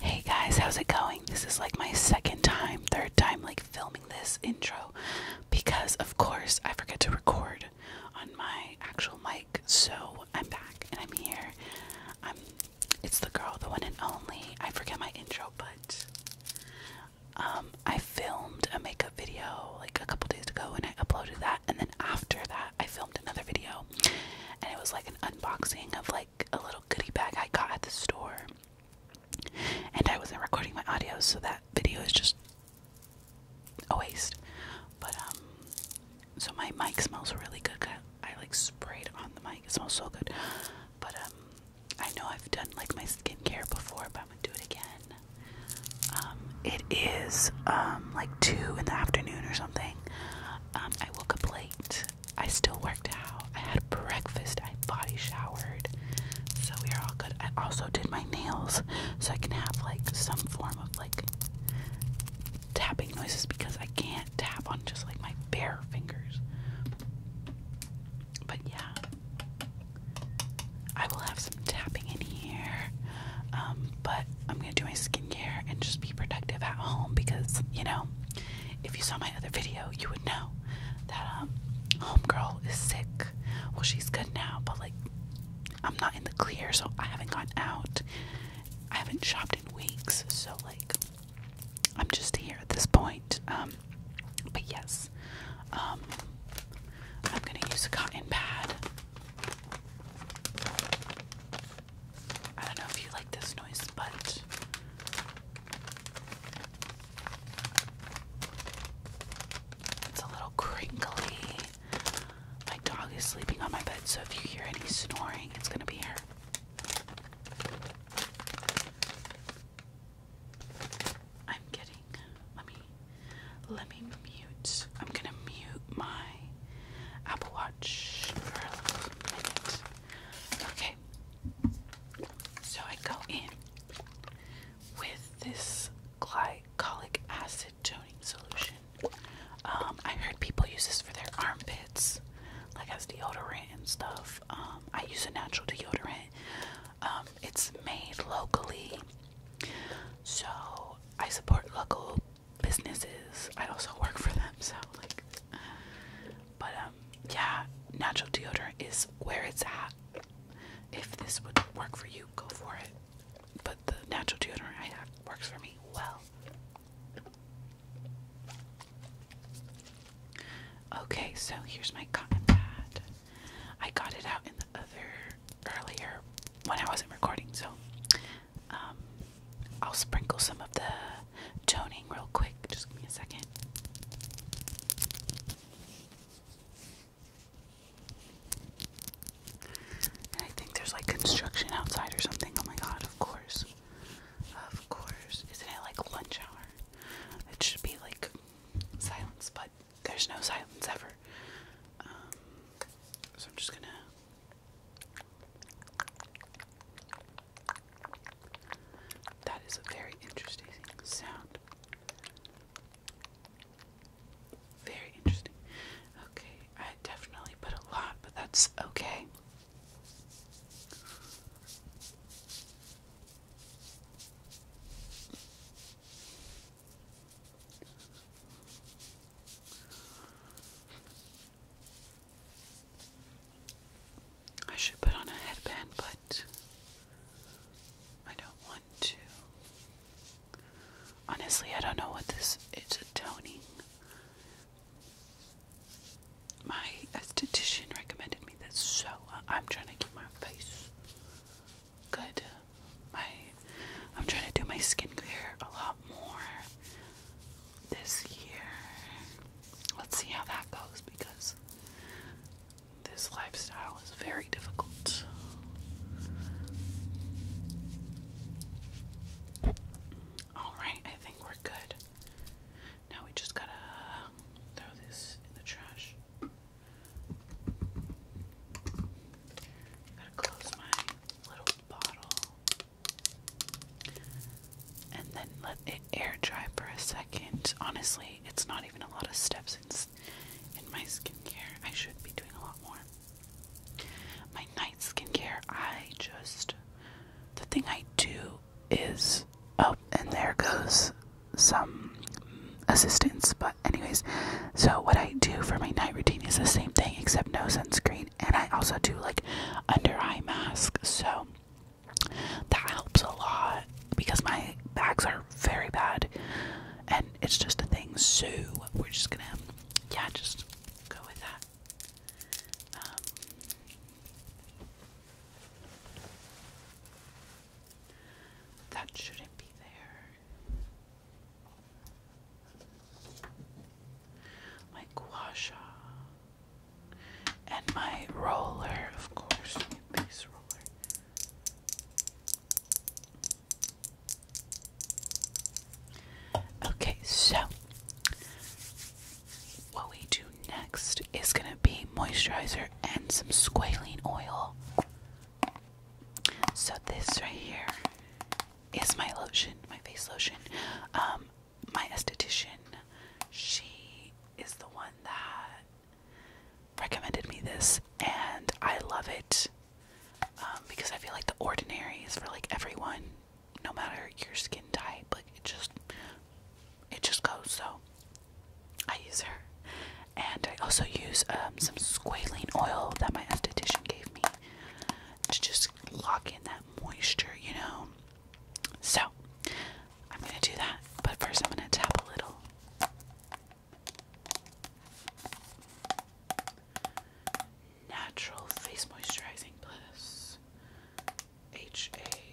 Hey guys, how's it going? This is like my second time, third time like filming this intro because of course I forget to record on my actual mic. So, I'm back and I'm here. I'm it's the girl, the one and only. I forget my intro, but um I filmed a makeup video like a couple days ago and I uploaded that and then after that I filmed another video and it was like an unboxing of like a little goodie bag I got at the store. And I wasn't recording my audio, so that video is just a waste. But um so my mic smells really good. I like sprayed on the mic. It smells so good. But um I know I've done like my skincare before, but I'm gonna do it again. Um it is um like two in the afternoon or something. Um I woke up late I still worked out. I had breakfast. I body showered. So we are all good. I also did my nails so I can have like some form of like tapping noises because I can't tap on just like my bare fingers. But yeah. I will have some tapping in here. Um, but I'm gonna do my skin skincare and just be productive at home because you know if you saw my other video you would know that um, home girl is sick well she's good now but like i'm not in the clear so i haven't gone out i haven't shopped in weeks so like i'm just here at this point um, but yes um, i'm gonna use a cotton pad I don't know if you like this noise, but it's a little crinkly. My dog is sleeping on my bed, so if you hear any snoring, it's gonna be her. I'm getting. Let me. Let me mute. I'm gonna mute my Apple Watch for a minute. Okay, so I go in with this glycolic acid toning solution. Um, I heard people use this for their armpits, like as deodorant and stuff. Um, I use a natural deodorant. Um, it's made locally, so I support local businesses. I also work for them, so like. But um, yeah, natural deodorant is where it's at. If this would work for you, go for it. But the natural deodorant I have works for me well. Okay, so here's my cotton pad. I got it out in the other earlier when I wasn't recording, so um, I'll sprinkle some of the toning real quick. Just give me a second. I think there's like construction outside or something. Oh my god, of course. Of course. Isn't it like lunch hour? It should be like silence, but there's no silence ever. Um, so I'm just gonna that is a very interesting sound. Very interesting. Okay, I definitely put a lot, but that's okay. I should put on a headband, but I don't want to. Honestly, I don't know what this it's a toning. My esthetician recommended me this, so uh, I'm trying to keep my face good. My I'm trying to do my skin skincare a lot more this year. Let's see how that goes because this lifestyle is very difficult. Alright, I think we're good. Now we just gotta throw this in the trash. Gotta close my little bottle and then let it air dry for a second. Honestly, it's not even a lot of steps It's in my skincare. I should be doing a lot more. My night skincare, I just. The thing I do is. Oh, and there goes some assistance. But, anyways, so what I do for my night routine is the same thing except no sunscreen and I also do like under eye mask. So that helps a lot because my bags are very bad and it's just a thing. So we're just gonna yeah, just go with that. Um, that shouldn't be there my gua and my roller, of course, base roller. Okay, so what we do next is going to be moisturizer and some squalene oil. So, this right here is my lotion, my face lotion. Um, my esthetician, she is the one that recommended me this, and I love it um, because I feel like the ordinary is for like everyone, no matter your skin type. Like it just, it just goes. So I use her, and I also use um, some squalene oil that my esthetician gave me to just lock in that moisture, you know. So I'm gonna do that, but first I'm gonna tap a little. Natural Face Moisturizing Bliss HA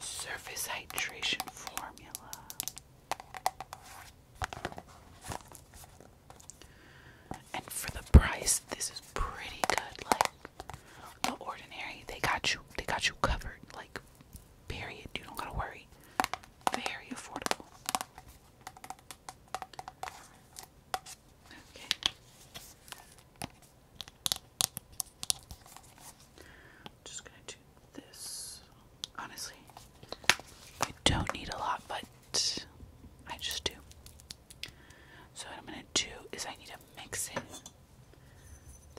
Surface Hydration Formula. And for the price, this is pretty good. Like the ordinary, they got you. They got you covered. Like period. You don't gotta worry. Very affordable. Okay. I'm just gonna do this honestly. I don't need a lot, but I just do. So, what I'm gonna do is, I need to mix it.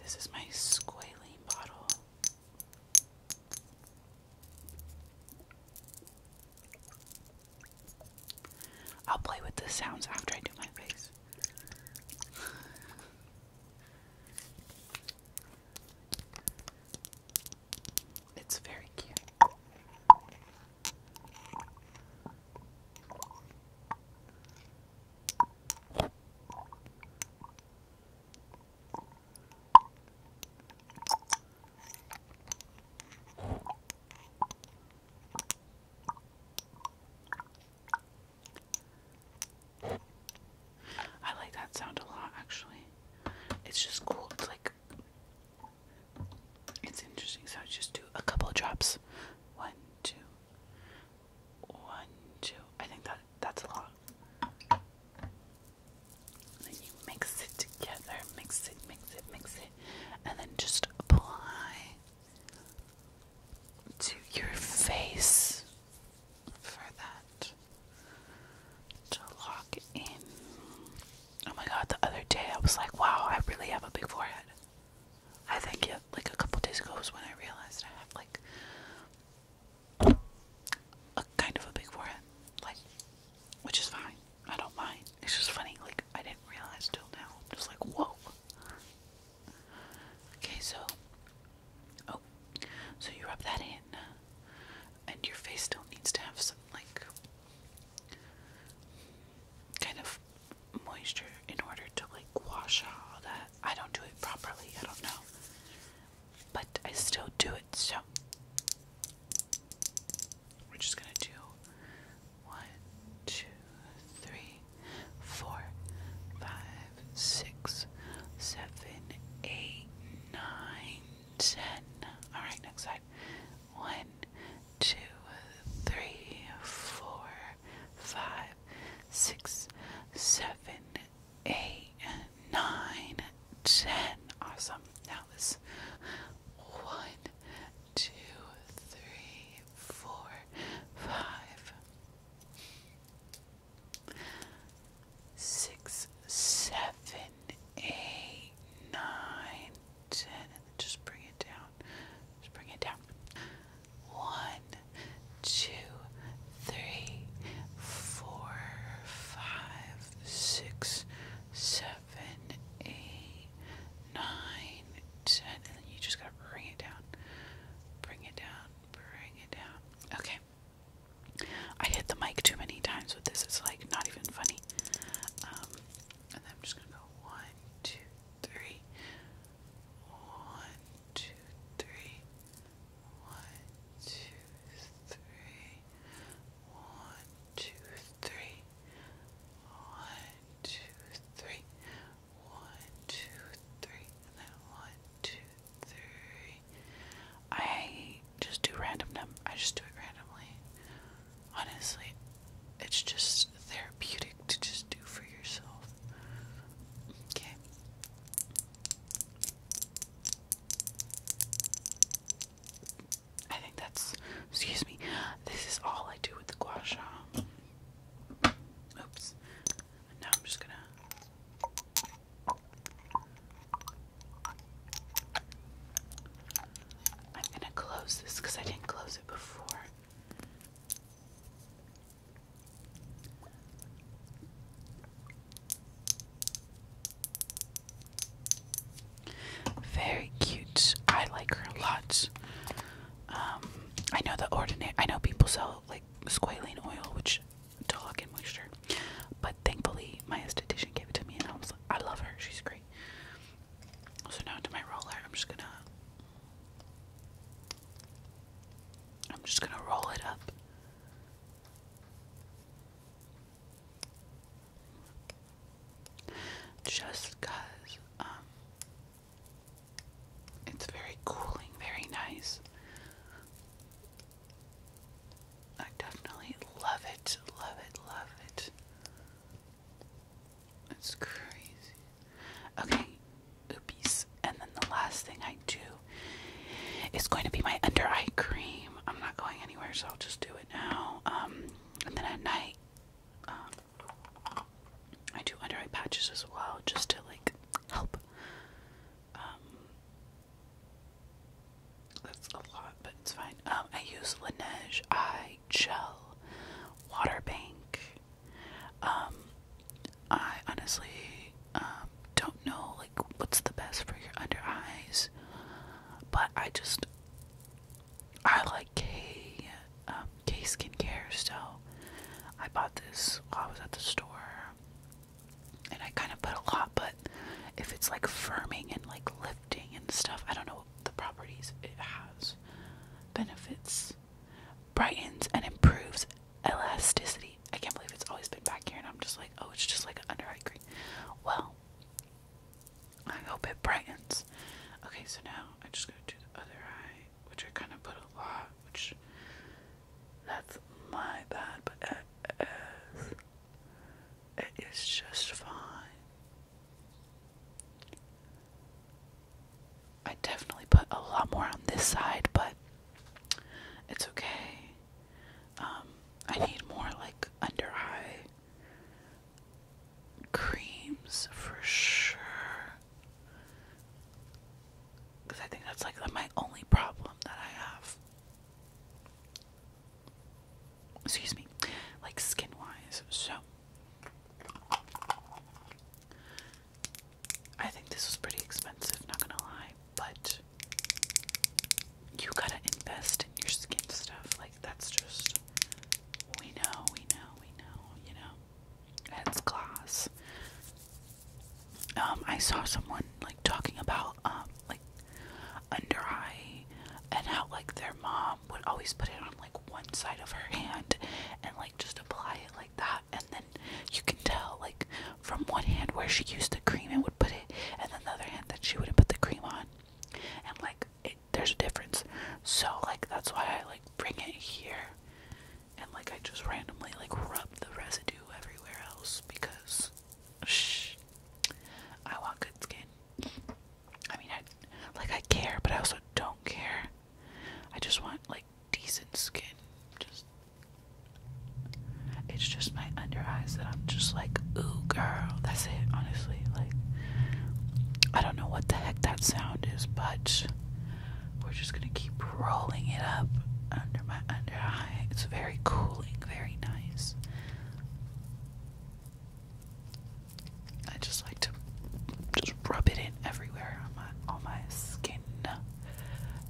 This is my squalene bottle. I'll play with the sounds after I do my face. It's very cute. I like that sound a lot actually. It's just cool. It's like it's interesting. So I just do a couple of drops. One, two. One, two. I think that that's a lot. And then you mix it together, mix it, mix it, mix it, and then just apply to your face for that to lock in. Oh my god, the other day I was like, wow, I really have a big forehead. I think yeah, like a couple days ago was when I realized I have like a kind of a big forehead, like, which is fine. I don't mind. It's just funny, like I didn't realize till now. I'm just like, whoa. Okay, so oh, so you rub that in and your face still needs to have some like kind of moisture in order to like wash all that. I don't do it properly, I don't know. But I still do it, so we're just gonna do one, two, three, four, five, six, seven, eight, nine, ten. All right, next side. One, two, three, four, five, six, seven, eight, nine, ten. Awesome. Now this one, two, three, four, five six, seven, eight, nine, ten, and then just bring it down. Just bring it down. One, two, three, four, five, six, seven, eight, nine, ten, and then you just gotta bring it down. Bring it down. Bring it down. Okay. I hit the mic too many times with this, it's like not even funny. Um, and I'm just gonna go one, two, three, one, two, three, one, two, three, one, two, three, one, two, three, one, two, three, and then one, two, three. I just do random num I just do it randomly. Honestly, it's just therapeutic to just do for yourself. Okay. I think that's excuse me. This is all I do with the gua Oops now I'm just gonna. I'm gonna close this because I didn't close it before. Very cute. I like her a lot. Um, I know the ordinary. I know people sell like squalene oil, which to and moisture. But thankfully, my esthetician gave it to me, and I was like, I love her. She's great. So now to my roller, I'm just gonna, I'm just gonna roll it up. Just um, it's very cooling, very nice. I definitely love it, love it, love it. It's crazy. Okay, oopies. And then the last thing I do is going to be my under eye cream. I'm not going anywhere, so I'll just do it now. Um, and then at night, um, I do under eye patches as well, just to like help um, that's a lot, but it's fine. Um, I use Laneige Eye Gel Water Bank. Um, I honestly don't know like what's the best for your under eyes, but I just I like K K skincare, so I bought this while I was at the store and I kind of put a lot, but if it's like firming and like lifting and stuff, I don't know what the properties it has. Benefits brightens and improves elasticity. I can't believe it's always been back here, and I'm just like, oh, it's just like under eye cream. Well, I hope it brightens. Okay, so now I just go to the other eye which I kind of put a lot, which that's my bad, but it is, it is just fine. I definitely put a lot more on this side, but it's okay. Um, I need more like under eye creams for sure. Because I think that's like my only problem that I have. Excuse me. Like skin wise. So. I think this was pretty expensive, not gonna lie, but you gotta invest in your skin stuff. Like, that's just. We know, we know, we know, you know. It's glass. Um, I saw someone like talking about um like under eye and how like their mom would always put it on like one side of her hand and like just apply it like that and then you can tell like from one hand where she used the cream and would put it and the other hand that she wouldn't put the cream on and like there's a difference so like that's why I like bring it here and like I just randomly like rubbed the residue everywhere else because shh, I want good skin. I mean, I like I care, but I also don't care. I just want like decent skin. Just it's just my under eyes that I'm just like, ooh, girl. That's it, honestly. Like I don't know what the heck that sound is, but we're just gonna keep rolling it up under my under eye. It's very cooling, very nice. I just like to just rub it in everywhere on my on my skin,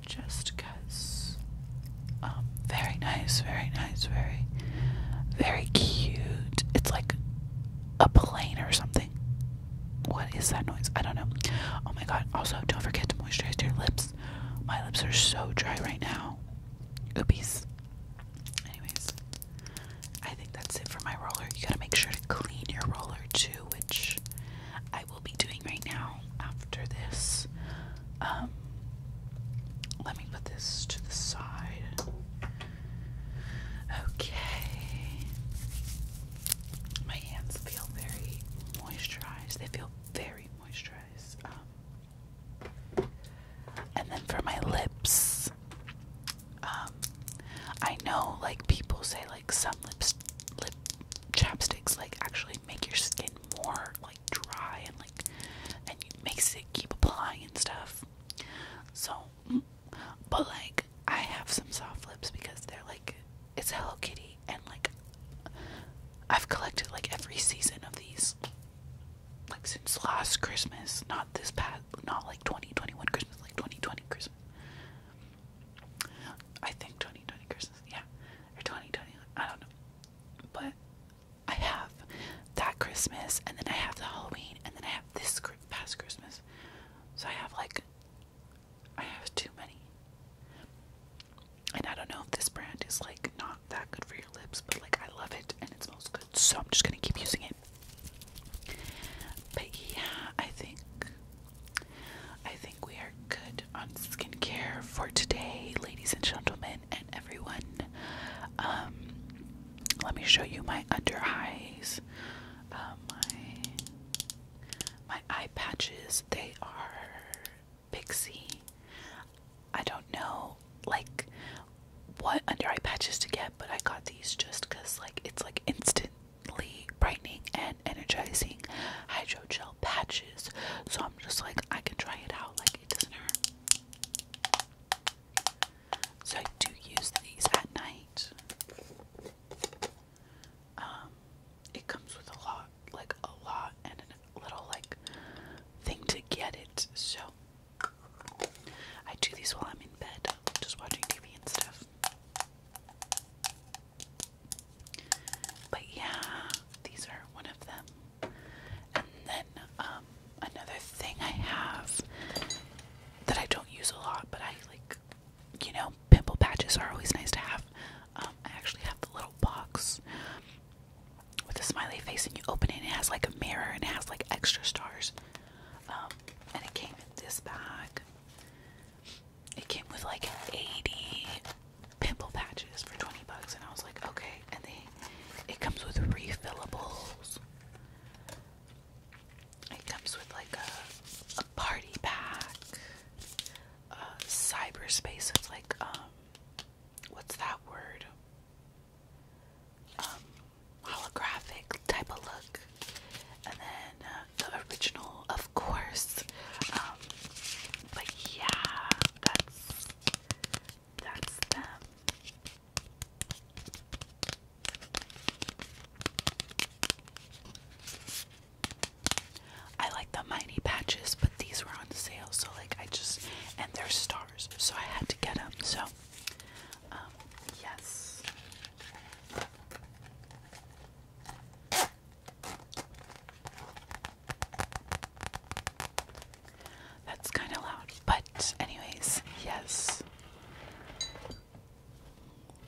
just cause. Um, very nice, very nice, very, very cute. It's like a plane or something. What is that noise? I don't know. Oh my god. Also, don't forget to moisturize your lips. My lips are so dry right now. Oopies. Anyways, I think that's it for my roller. You gotta make sure to clean your roller too, which I will be doing right now after this. Um, let me put this to the side. Okay my hands feel very moisturized. They feel very moisturized. Um, and then for my lips, um, I know like people say like some lips, lip chapsticks like actually make your skin more like dry and like and it makes it keep applying and stuff. So but like I have some soft lips because they're like it's Hello Kitty and like I've collected like every season of these like since last Christmas, not this past not like 2021 Christmas, like 2020 Christmas. I think 2020 Christmas, yeah. Or twenty twenty one. I don't know. But I have that Christmas and then I have the Halloween and then I have this past Christmas. So I have like I have too many. And I don't know if this brand is like not that good for your lips, but like I love it and it smells good, so I'm just gonna keep using it. But yeah, I think I think we are good on skincare for today, ladies and gentlemen, and everyone. Um, let me show you my under eyes. Uh, my my eye patches. They are Pixie. I don't know like what under eye patches to get, but I got these just because like it's like instantly brightening and energizing hydrogel patches. So I'm just like I can try it out. Like it doesn't hurt. So I do use these at night. Um, it comes with a lot, like a lot, and a little like thing to get it. So I do these while I'm in bed, just watching TV and stuff. But yeah, these are one of them. And then um, another thing I have that I don't use a lot, but I like you know, pimple patches are always nice to have. Um, I actually have the little box with a smiley face, and you open it, and it has like a mirror, and it has like extra stars. Um, and it came in this bag. It came with like 80 pimple patches for 20 bucks, and I was like, okay. And they, it comes with refillables. It comes with like a, party pack, uh, cyberspace. It's like, um, what's that word? Um, holographic type of look. And then uh, the original, of course. Um, but yeah, that's that's them. I like the Mighty Patches, but these were on sale, so like I just, and they're stars, so I had to get them. So, um, yes. That's kind of loud, but, anyways, yes.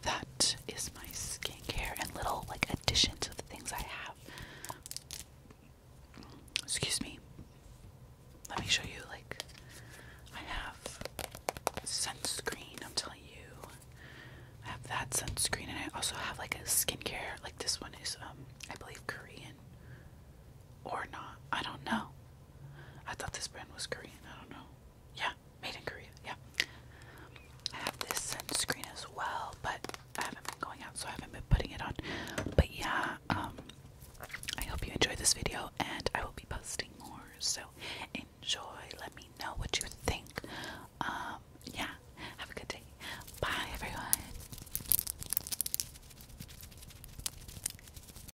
That is my skincare and little like addition to the things I have. Excuse me. Let me show you like I have sunscreen, I'm telling you. I have that sunscreen and I also have like a skincare like this one is um I believe Korean or not. I don't know. I thought this brand was Korean. I don't know. Yeah, made in Korea. Yeah. I have this sunscreen as well, but I haven't been going out, so I haven't been putting it on. But yeah, um, I hope you enjoyed this video, and I will be posting more. So enjoy. Let me know what you think. Um, yeah. Have a good day. Bye, everyone.